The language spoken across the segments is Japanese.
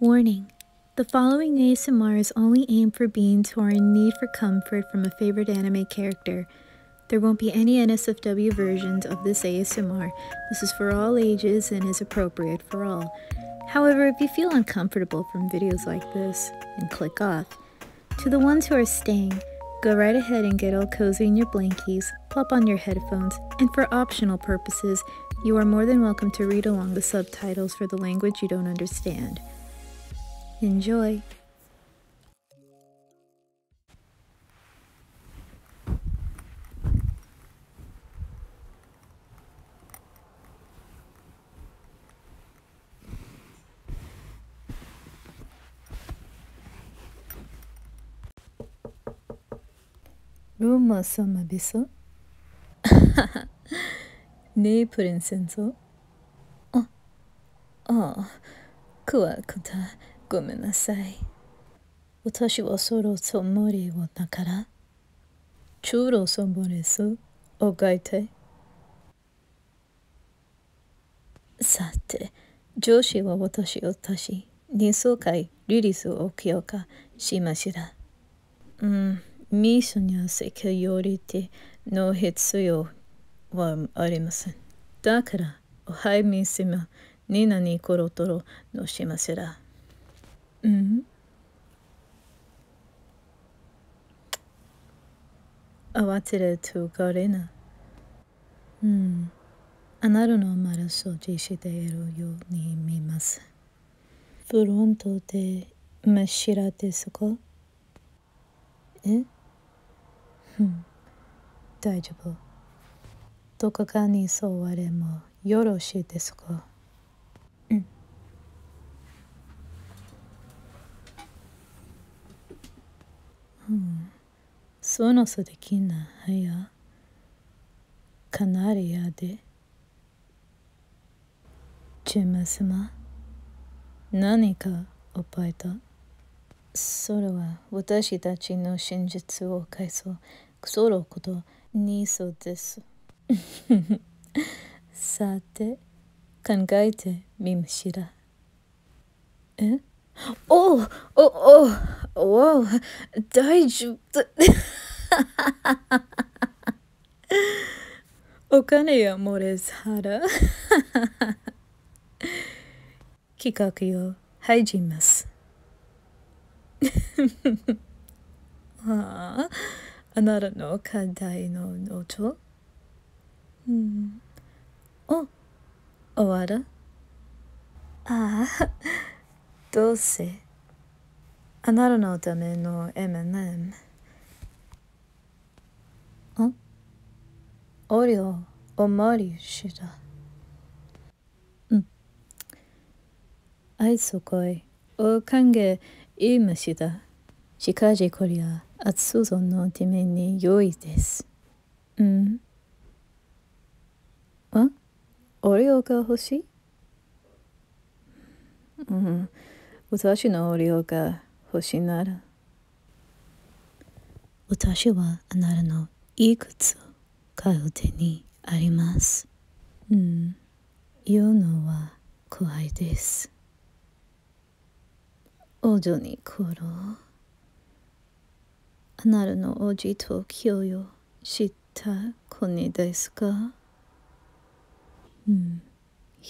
Warning. The following ASMRs only aim for beings who are in need for comfort from a favorite anime character. There won't be any NSFW versions of this ASMR. This is for all ages and is appropriate for all. However, if you feel uncomfortable from videos like this, and click off. To the ones who are staying, go right ahead and get all cozy in your blankies, plop on your headphones, and for optional purposes, you are more than welcome to read along the subtitles for the language you don't understand. Enjoy! ロ o m a sama bisa? ne prinsenso? Ah, a ごめんなさい。私はそろそろ無理をだから。チューロソンボレスを書いて。さて、上司は私を足し。に数回リリースを強化しました。うん、ミッションやセキュリティの必要はありません。だから、おはいみせま、になにころとろのしませら。うん。慌てるとがれな。うん、あなたのマラ掃除しているように見ます。フロントで真っ白ですかえうん、大丈夫。どこかに座れもよろしいですかうん。うんその素敵な部屋カナリアでジェム様何か覚いたそれは私たちの真実を返そうそのことにそうですさて考えてみましらえおおおおお大丈夫お金やモれ、ス腹企画よ始じますあああなたの課題の音うんお終わらああ どうせあなたのための M&M んおりょう、おまわりしたうんあいそこいをかんげいましだ。しかじこりゃ暑そうのためによいですうん。あオレオが欲しいうん。私のオレオが欲しいなら。私はあなたのいいつ。を買う手にあります。うん。言うのは怖いです。おじょにころ。あなたのおじときょうよ、しったこ国ですかうん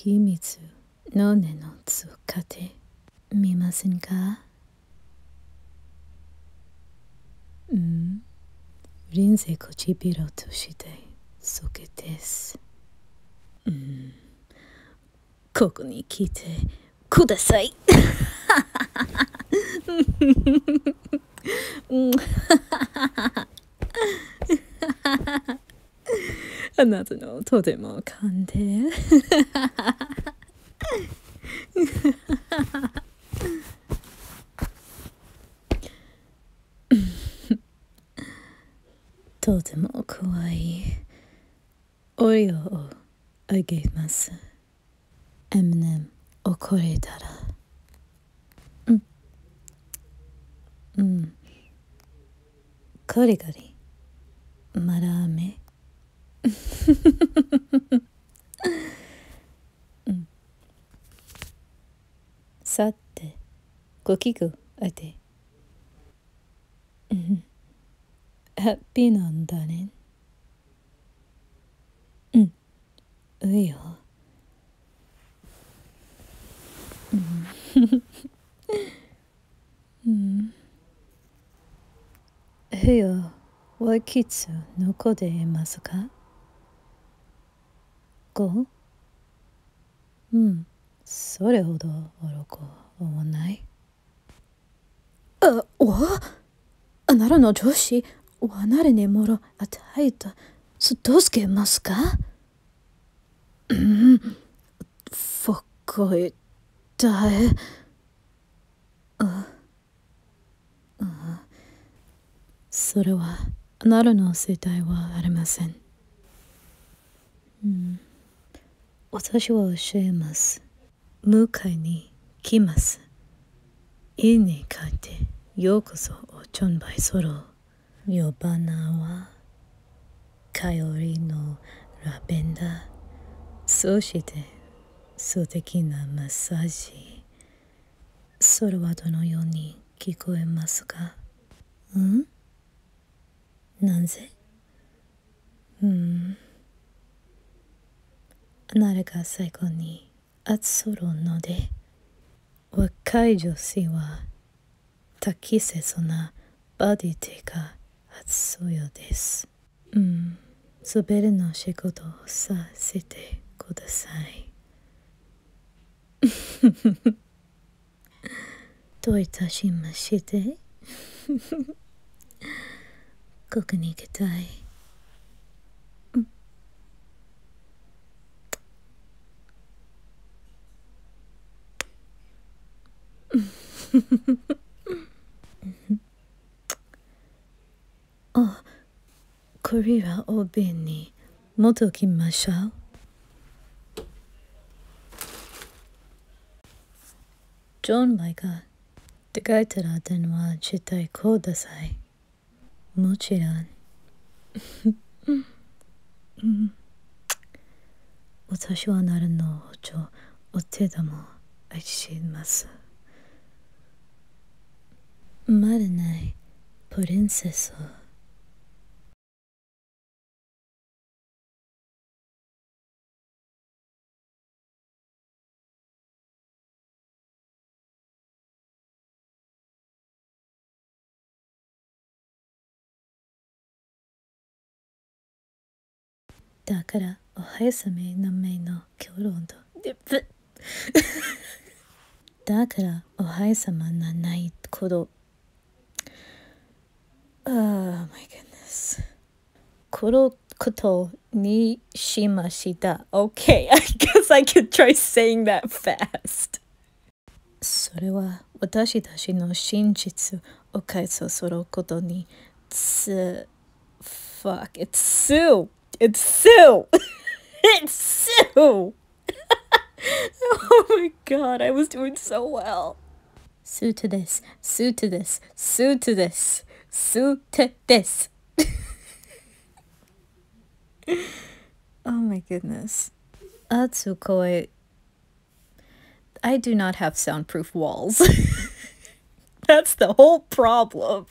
みつ、のねの使かてみませんかうん臨びろとしい、そけですうんここに来てくださいあなたのとても噛んでとても怖いオリオをあげます Eminem 怒れたらうんうんカリカリマラーメうん、さてごき具あてうん。ハッピーなんだね。うん。ういよ。うん。うん。うよ。ワイキツ、のこでいますか ?5? うんそれほど愚か思ないあおあ、ならの女子、おなれにもろあたいたすどうすけますかうんふっこいだえああそれはなるの世代はありません、私は教えます迎えに来ます家に帰ってようこそおちょんばいソロ呼バナはかよりのラベンダーそして素敵なマッサージそれはどのように聞こえますがうんなぜうんあなたが最後に集うので若い女性は適切なバディティがようです。うん、すべての仕事をさせてください。どういたしまして ここに行きたい、うん、あこれはお瓶に戻きましょう。ジョン・マイガーって書いたら電話してください。もちろん。私はなるの補助お手玉を愛します。マルナイ・プリンセスをだからおはやさめ、のめの今日ロンドでぶだからおはいさまなないこと Oh my goodness このことにしました OK I guess I could try saying that fast それは私たちの真実を解消することにつ fuck it's Sue It's Sue! it's Sue! oh my god, I was doing so well. Sue to this, Sue to this, Sue to this, Sue to this. oh my goodness. Atsukoi. I do not have soundproof walls. That's the whole problem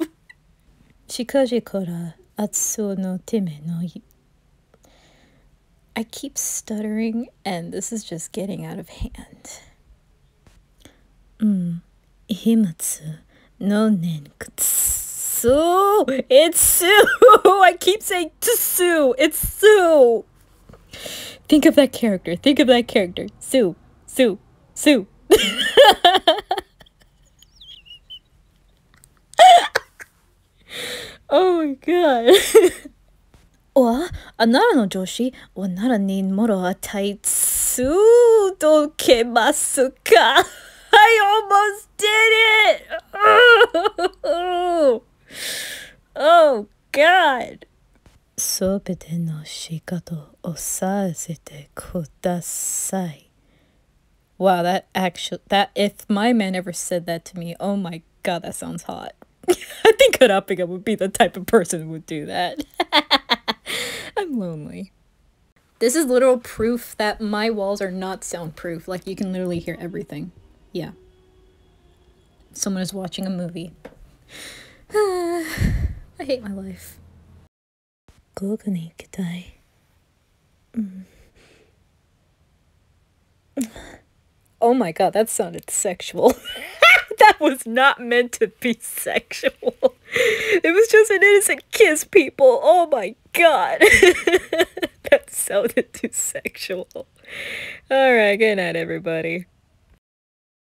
no no. I keep stuttering and this is just getting out of hand. Mm, no うん、飛沫の年屈。Sue. It's Sue. I keep saying to Sue. It's Sue. Think of that character. Think of that character. Sue. Sue. Sue. oh my god. or another の上司、女にもろはタイツを届けますか I almost did it! Oh, oh God! すべての仕方をさせてく The say. Wow, that actually, that, if my man ever said that to me, oh my god, that sounds hot. I think Hood Oppiga would be the type of person who would do that. I'm lonely. This is literal proof that my walls are not soundproof. Like, you can literally hear everything. Yeah. Someone is watching a movie. I hate my life. Oh my god, that sounded sexual. that was not meant to be sexual. It was just an innocent kiss, people. Oh my god. that sounded too sexual. Alright, good night, everybody.